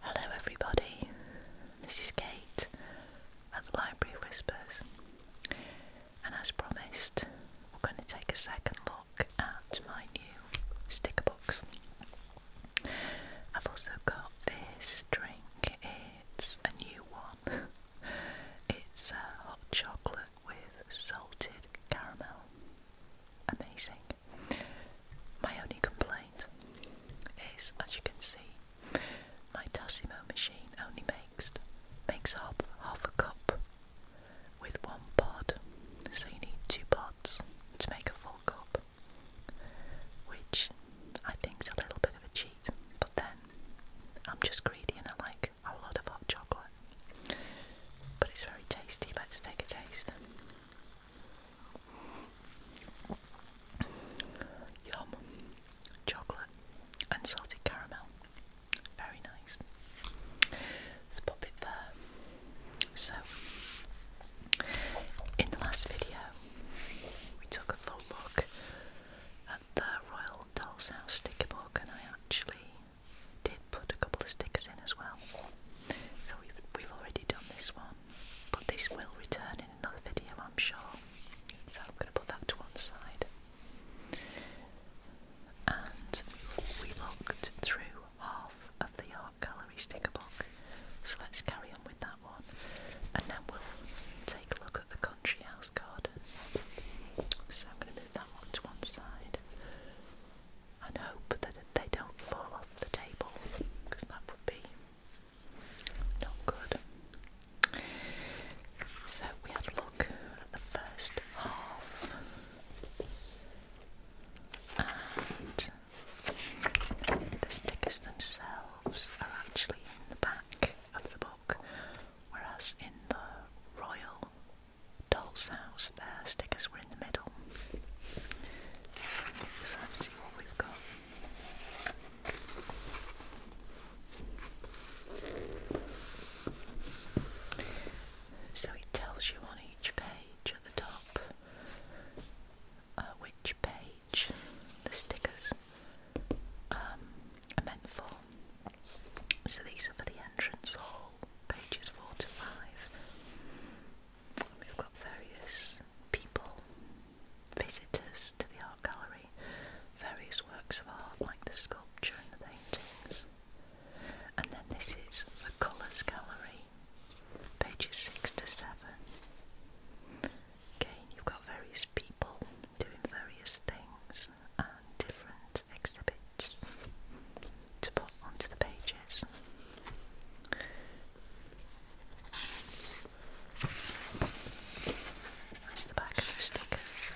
Hello, everybody. This is Kate at the Library Whispers, and as promised, we're going to take a second look at my new sticker box. I've also got this drink, it's a new one. It's uh, hot chocolate with salted caramel. Amazing. My only complaint is, as you can see, my Tassimo machine only makes makes up half a cup with one pod, so you need two pods to make a full cup, which I think is a little bit of a cheat. But then I'm just greedy and I like a lot of hot chocolate, but it's very tasty. Let's take a taste. Yum. Chocolate and salted caramel. Very nice. let it there. So, in the last video, we took a full look at the Royal Doll's House sticker book, and I actually did put a couple of sticks in as well. So we've, we've already done this one, but this will return in another video, I'm sure. So I'm going to put that to one side. And we looked through half of the art gallery sticker book, so let's carry on with that one, and then we'll take a look at the country house garden. So I'm going to move that one to one side and hope that they don't fall off the table because that would be not good. So we had a look at the first half and the stickers themselves are actually in the back of the book, whereas in the Royal doll's house there. Stickers were in the middle. So let's see what we've got. So it tells you on each page at the top uh, which page the stickers um, are meant for. So these are for the entrance hall, pages four to five. We've got various people, visitors to the art gallery, various works of art like the sculpture and the paintings. And then this is the colours gallery, pages six to seven. Again, you've got various people doing various things and different exhibits to put onto the pages. That's the back of the stickers.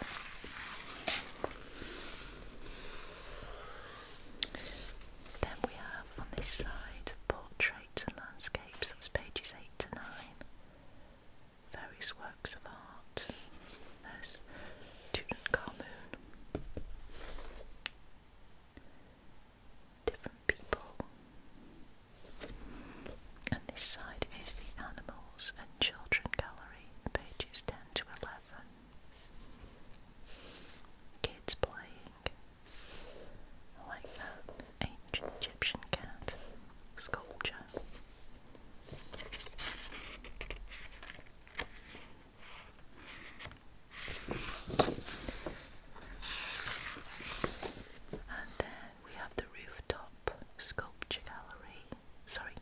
Then we have on this side portraits and landscapes, that's pages 8 to 9. Various works of art. There's Tutankhamun, different people. And this side is the Animals and Children Gallery, pages 10 to 11. Kids playing. I like that. Ancient Egyptian cat sculpture. And then we have the rooftop sculpture gallery, sorry,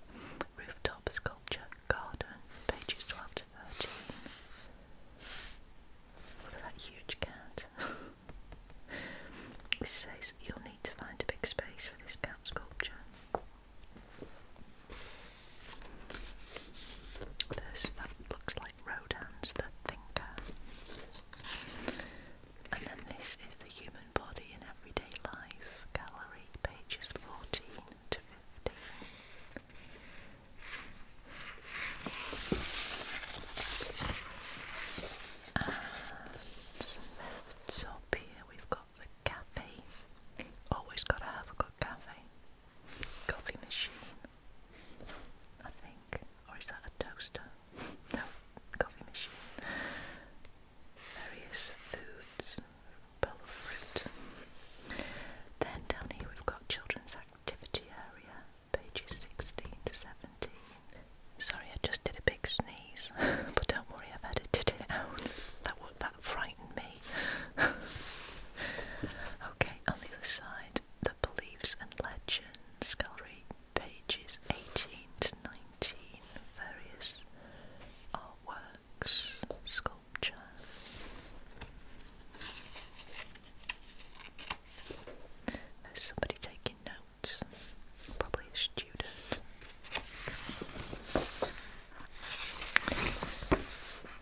rooftop sculpture garden, pages 12 to 13. Look at that huge cat. This says you'll need to find a big space for this cat sculpture. This that looks like rodents. the Thinker. And then this is the Human Body in Everyday Life gallery, pages 14 to 15. And so here we've got got cafe. Always gotta have a good cafe. Coffee machine, I think. Or is that a toaster? No, coffee machine. Various foods, bowl fruit. Then down here we've got children's activity area, pages 16 to 17. Sorry, I just did a big sneeze, but don't worry, I've edited it out. That, that frightened me. okay, on the other side, the beliefs and legends gallery, pages 18 to 19, various artworks, sculpture. There's somebody taking notes, probably a student.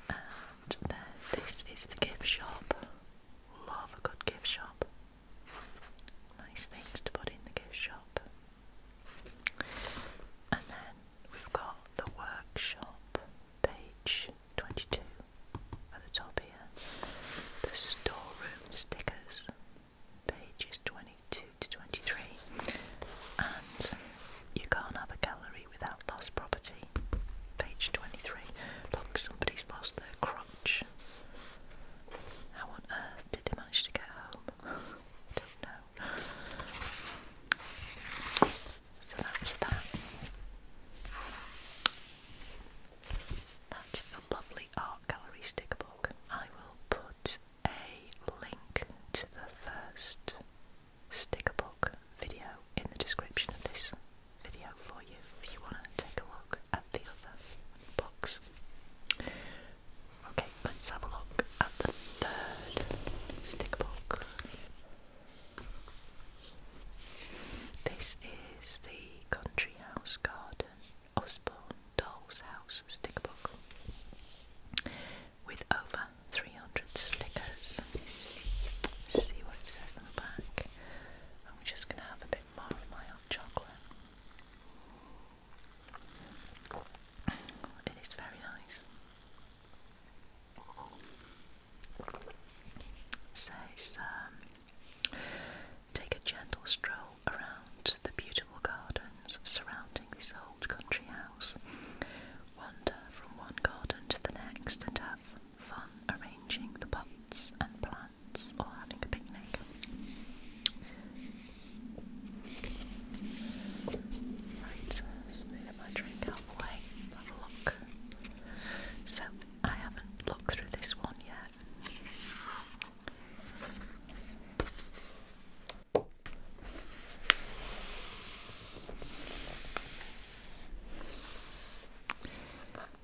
And then this is the gift shop. Love a good gift shop. Nice things to put in the gift shop. And then we've got the workshop, page 22 at the top here. The storeroom stickers, Page is 22 to 23 and you can't have a gallery without lost property page 23 look somebody's lost their crutch how on earth did they manage to get home don't know so that's that that's the lovely art gallery sticker book I will put a link to the first stick a book video in the description of this video for you if you want to take a look at the other books. Okay, let's have a look at the third stick book. This is the Country House Garden Osborne Doll's House stick book with over 300 stickers. See what it says on the back. And we just going to have a bit more of my chocolate. It is very nice. It says, um, take a gentle stroll around the beautiful gardens surrounding this old country wander from one garden to the next, and have fun arranging the pots and plants or having a picnic. Right, let my drink out look. So, I haven't looked through this one yet.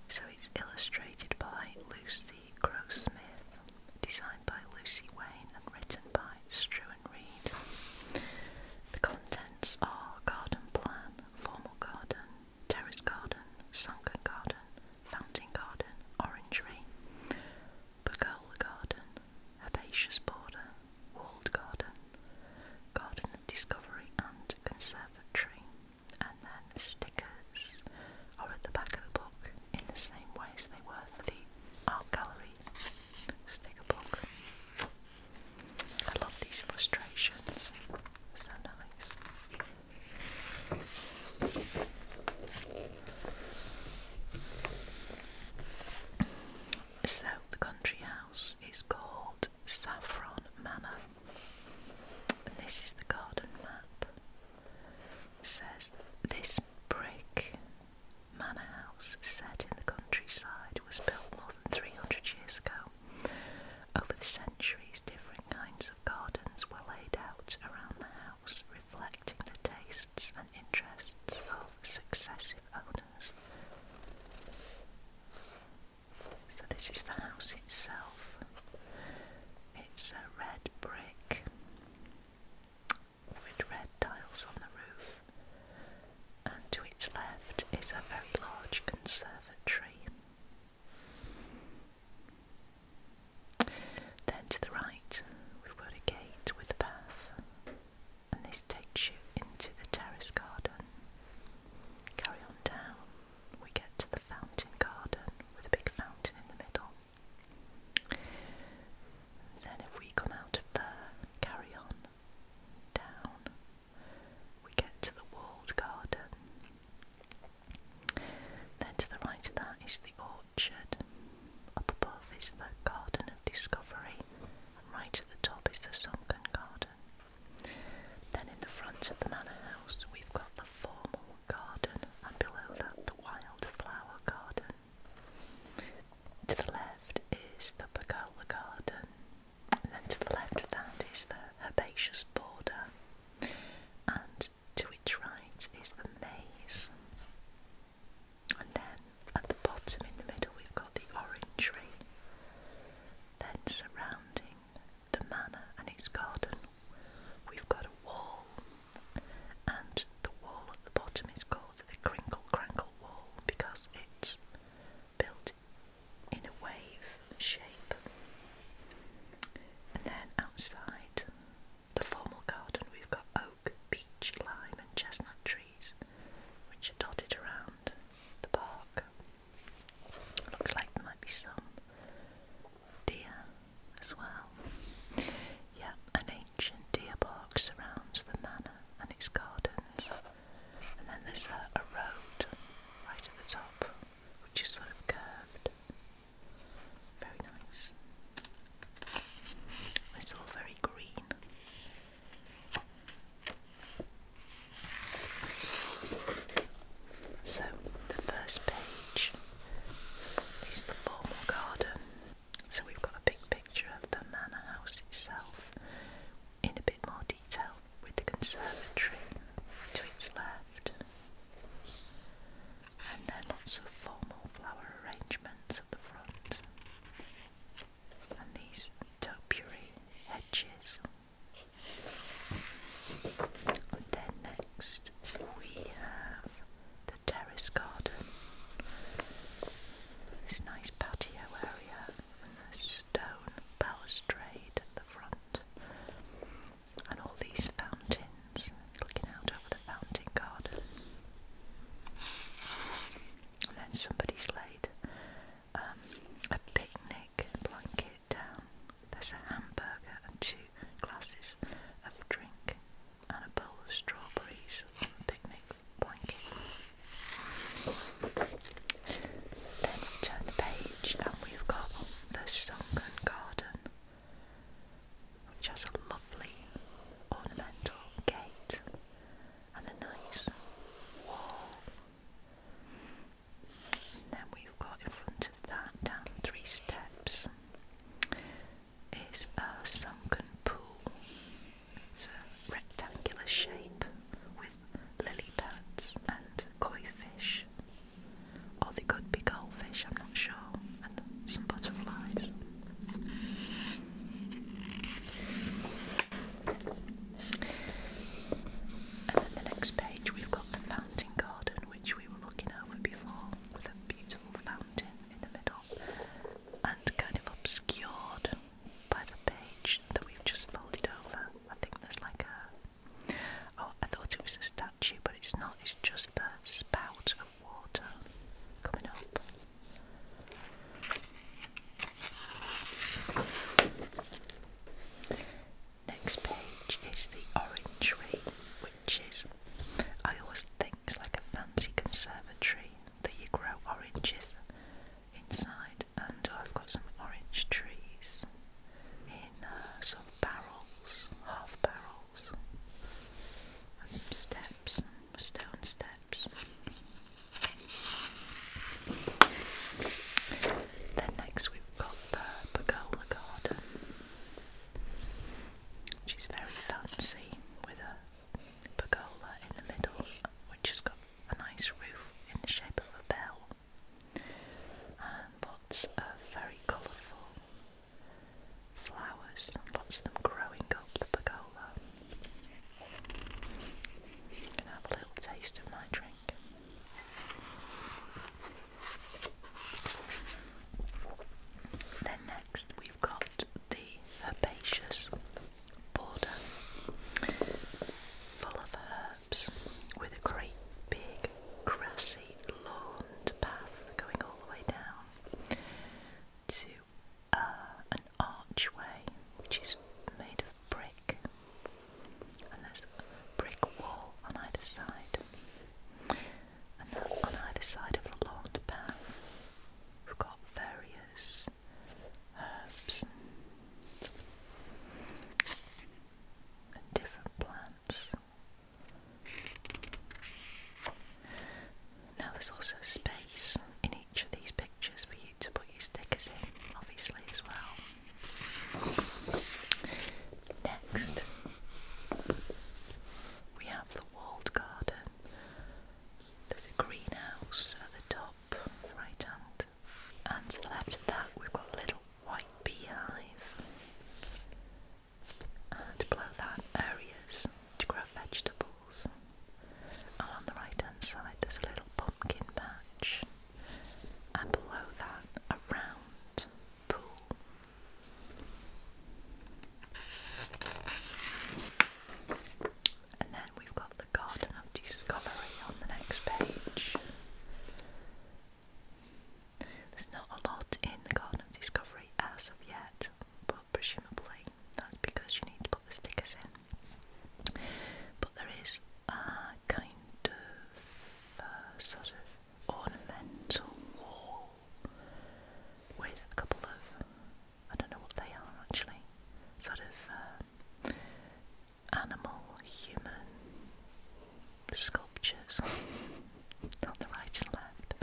So it's illustrated by Lucy Grossmith, designed by Lucy Wayne and written by Struan Reed. The contents are garden plan, formal garden, terrace garden, sunken garden, fountain garden, orangery, pergola garden, herbaceous border, walled garden, garden of discovery and conservatory. And then the stickers are at the back of the book in the same way as they were for the art gallery sticker book. I love these illustrations, so nice. So the country house is called Saffron Manor. And this is the garden map. says this brick manor house set in the countryside was built more than 300 years ago. Over the centuries, different kinds of gardens were laid out around the house, reflecting the tastes and interests of successive owners. So, this is the house itself. It's a red brick with red tiles on the roof, and to its left is a very large conservatory. Then to the right, we've got a gate with a path and this takes you into the terrace garden. Carry on down, we get to the fountain garden with a big fountain in the middle. Then, if we come out of there, carry on down, we get to the walled garden. Then, to the right of that is the orchard. Up above is the Garden of Discovery, and right at the top is the Sunken Garden. Then in the front of the manor house, we've got the formal garden, and below that, the wildflower garden. To the left is the pergola garden, and then to the left of that is the herbaceous border, and to its right is the maze. And then at the bottom in the middle, we've got the orange orangery, then surrounding the manor and its garden, we've got a wall, and the wall at the bottom is called the Crinkle crinkle Wall because it's built in a wave shape. And then outside the formal garden, we've got oak, beech, lime, and chestnut trees, which are dotted around the park. Looks like there might be some deer as well. Yeah, an ancient deer park surrounds the manor and its gardens, and then there's a, road right at the top, which is sort of curved. Very nice. It's all very green. So, the first page is the formal garden. So, we've got a big picture of the manor house itself in a bit more detail with the conservatory to its left and then lots of formal flower arrangements at the front, and these topiary hedges. And then next we have the terrace garden, this nice patio area, and the stone balustrade at the front, and all these fountains looking out over the fountain garden. And then somebody's laid um, a picnic blanket down. There's a hamburger and two glasses of drink and a bowl of strawberries on the picnic blanket. Then we turn the page and we've got the sunken garden which has a lovely ornamental gate and a nice wall. And then we've got in front of that, down three steps, is a sunken pool. It's a rectangular shape with lily pads and koi fish, or they could be shellfish, I'm not sure, and some butterflies. And then the next page we've got the fountain garden, which we were looking over before, with a beautiful fountain in the middle, and kind of obscured by the page that we've just folded over. I think there's like a. Oh, I thought it was a statue, but it's not, it's just the spout water coming up. Next page is the orangery, which is, I always think, it's like a fancy conservatory that you grow oranges inside. And I've got some orange trees in uh, some barrels, half barrel walls and some steps, stone steps. Then next we've got the pergola garden, which very fancy with a pergola in the middle, which has got a nice roof in the shape of a bell, and lots of very colourful flowers, lots of them growing up the pergola. have a little taste of my drink. Then next we've got the herbaceous border full of herbs with a great big grassy lawn path going all the way down to uh, an archway which is made of brick, and there's a brick wall on either side, and that on either side of the lawn path we've got various herbs and different plants. Now there's also space in each of these pictures for you to put your stickers in, obviously, as well. Next, we have the walled garden. There's a greenhouse at the top, right hand, and to the left of that, we've got little white beehive and blowed that, areas to grow vegetables. And on the right hand side, there's a little pumpkin patch, and below that, a round pool. And then we've got the Garden of Discovery on the next page. There's not a lot in the Garden of Discovery as of yet, but presumably that's because you need to put the stickers in. But there is a kind of uh, sort of ornamental wall with a couple of, I don't know what they are actually, sort of uh, animal, human sculptures. on the right and left.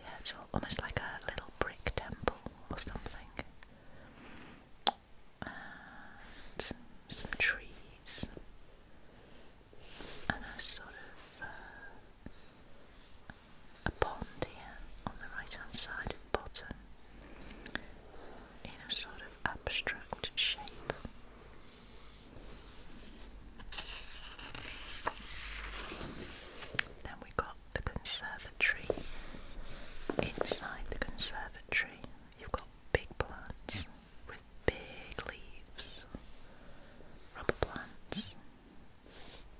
Yeah, it's almost like a little brick temple or something. And some trees. And a sort of uh, a pond here on the right hand side bottom in a sort of abstract shape. Then we got the conservatory. Inside the conservatory, you've got big plants with big leaves, rubber plants,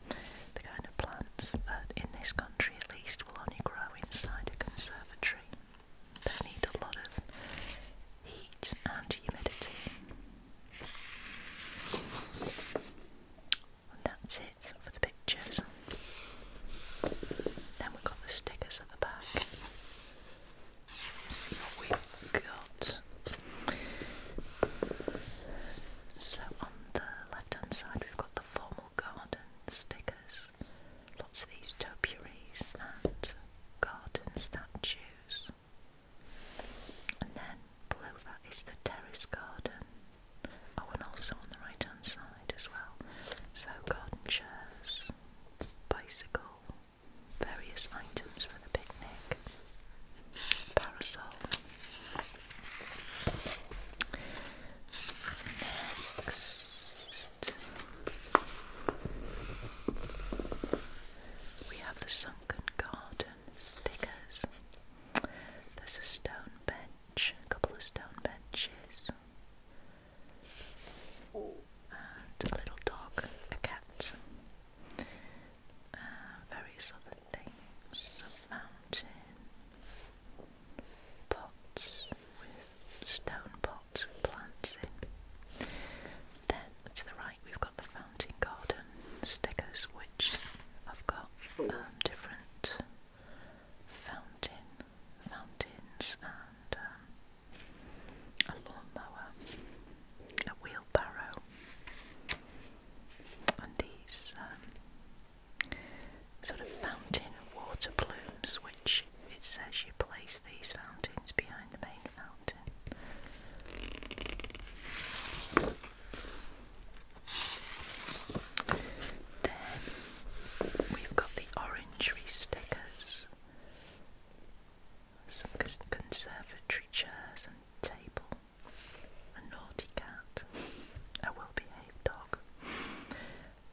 the kind of plants that in this country at least will only grow inside a conservatory. They need a lot of heat and humidity. that's it for the pictures. Then we've got the stickers at the back. see what we've got. So on the left hand side we've got the formal garden stickers, lots of these topiaries and garden statues. And then below that is the terrace garden. Oh, and also on the right hand side as well. So, garden chairs, bicycle, various items for the picnic, parasol. We have the sunken garden stickers. There's a stone bench, a couple of stone benches, and a little dog, a cat, uh, various other things, a mountain, pots with stone pots with plants in. Then to the we've got the Fountain Garden stickers, which I've got oh. um, different fountain, fountains, and um, a lawnmower, a wheelbarrow, and these um, sort of fountain water plumes, which it says you place these fountains behind the main fountain. Then we've got the orangery stickers, some conservatory chairs and table, a naughty cat, a well behaved dog,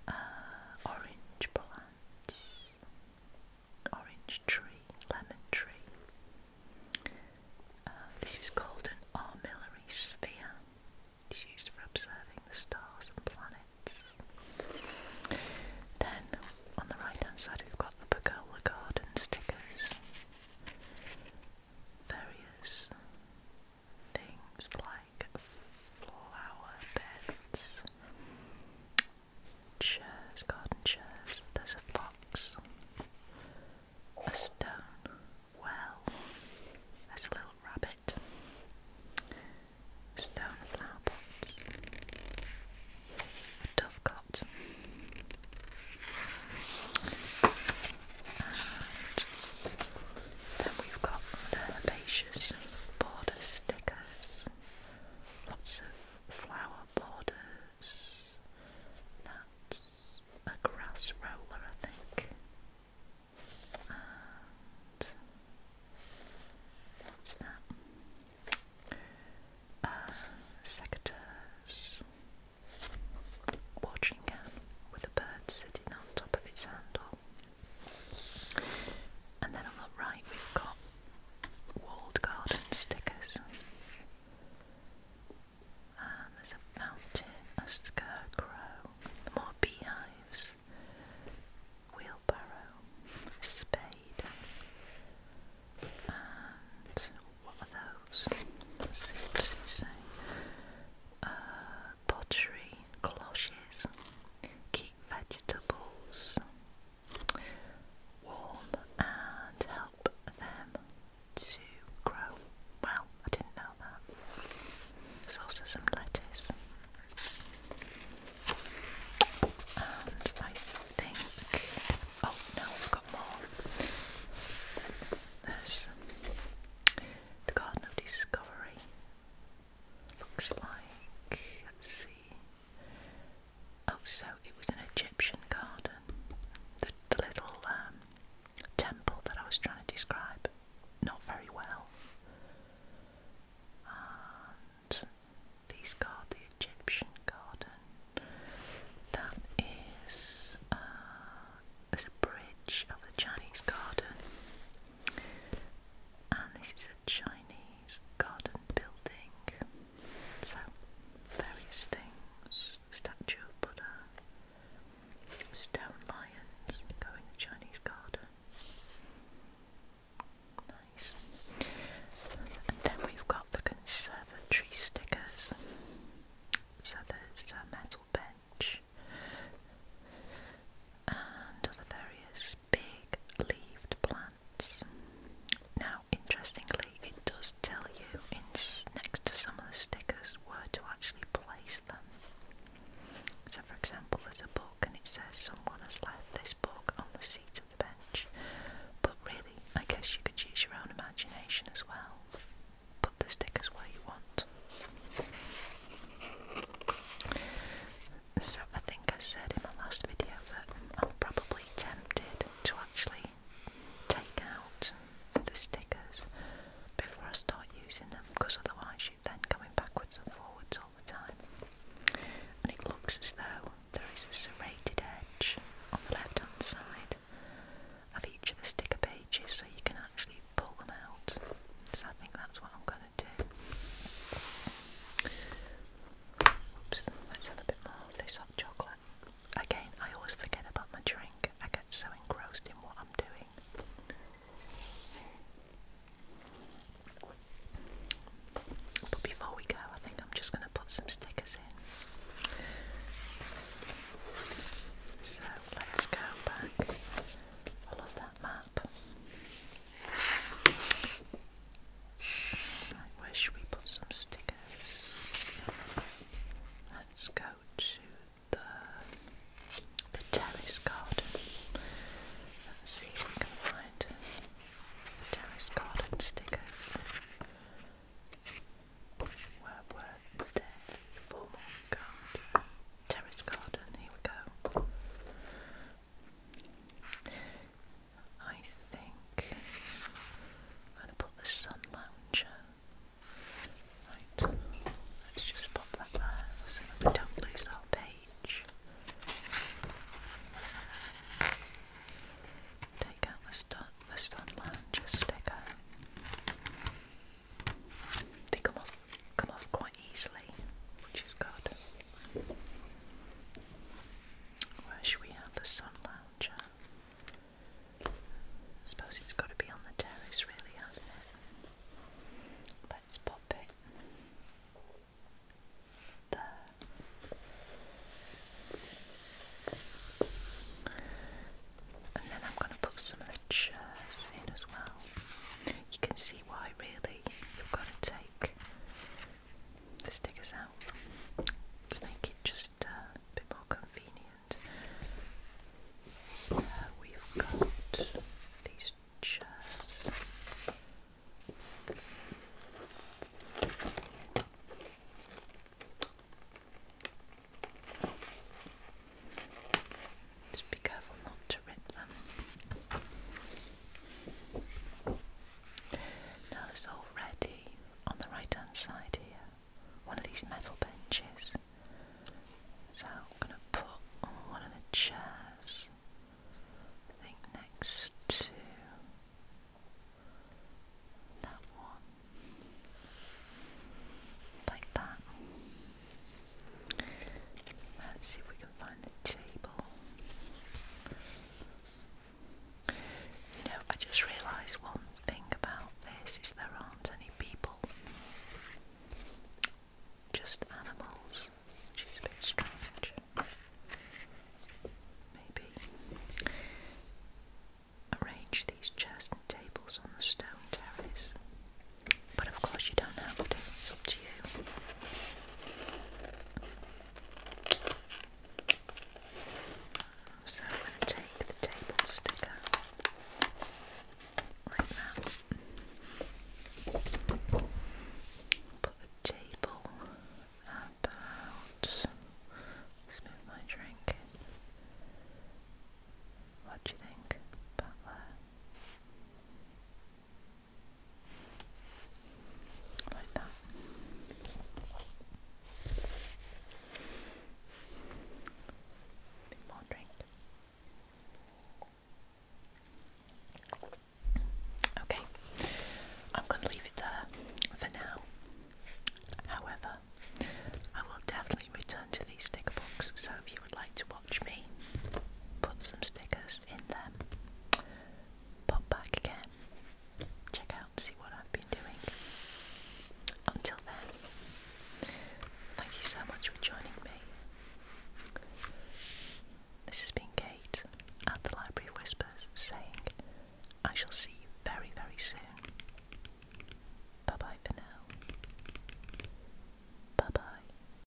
uh, orange plants, orange tree, lemon tree. Uh, this is called an armillary sphere. It's used for observing the stars and planets. Then on the right hand side we've got the Pagola Garden stickers. Various things like flower beds, chairs, garden chairs. There's a fox, a stone well, a little rabbit, stone flower pots, a dovecot, and then we've got herbaceous border stickers. Lots of flower borders. That's a grass roller, I think. what's that? Uh, secateurs. Watering can with a bird sitting on top of its handle. And then on the right, we've got walled garden stickers. there's a mountain, a scarecrow, more beehives, wheelbarrow, spade, and what are those? see, what does it say? Uh, pottery, cloches, keep vegetables, warm and help them to grow. Well, I didn't know that. There's also some lettuce. And I think. Oh no, I've got more. There's the Garden of Discovery. Looks like. Let's see. Oh, so it was an Egyptian garden. The, little um, temple that I was trying to describe, not very well. And these called the Egyptian garden. That is there's uh, a bridge of the Chinese garden, and this is a Chinese nice garden building. So, various things statue of Buddha, stone lions go in the Chinese garden. Nice. then we've got the conservatory stickers. So there's a metal bench and other various big leaved plants. Now, interestingly, it does tell you in next to some of the stickers where to actually place them. So, for example, there's a book and it says someone has left this book on the seat of the bench. But really, I guess you could use your own imagination as well. Put the stickers where you want. So I think I said in the last video that I'm probably tempted to actually take out the stickers before I start using them because otherwise you're then coming backwards and forwards all the time. And it looks as though there is a serrated edge on the left hand side of each of the sticker pages so you can actually pull them out. So I think that's what I'm going let's have a bit more of this hot chocolate. Again, I always forget about my drink. I get so engrossed in what I'm doing. But before we go, I think I'm just going to put some stickers in. So let's go back. I love that man up. I we put some stickers. Let's go to the the terrace garden. let see if we can find terrace garden stickers. Terrace garden, here we go. I think I'm going to put the sun lounger. Right, let's just pop that there so that we don't lose our page. Take out the sun, the sun lounger sticker. They come off, come off quite easily, which is good. Where should we have the sun lounger? I suppose it's got to be on the terrace, really, hasn't it? Let's pop it there. And then I'm going to put some of the chairs in as well. You can see why, really, you've got to take Let's take us out to make it just uh, a bit more convenient. we've got these chairs. Just be careful not to rip them. Now there's already on the right hand side here one of these metal benches. So I'm going to put on one of the chairs, I think next to that one, like that. Let's see if we on the table. You know, I just realised one thing about this is there aren't any people, just animals, which is a bit strange. Maybe arrange these chairs and tables on the stone terrace, but of course you don't have to. It's up to you. So I'm going to take the table sticker like that. Put the table about. let my drink. What do you think about that? Okay, I'm going to leave it there for now. However, I will definitely return to these sticker books, so if you would like to watch me put some stickers in them. Pop back again, check out see what I've been doing. Until then, thank you so much for joining me. This has been Kate at the Library of Whispers saying, I shall see you very, very soon. Bye bye for now. Bye bye.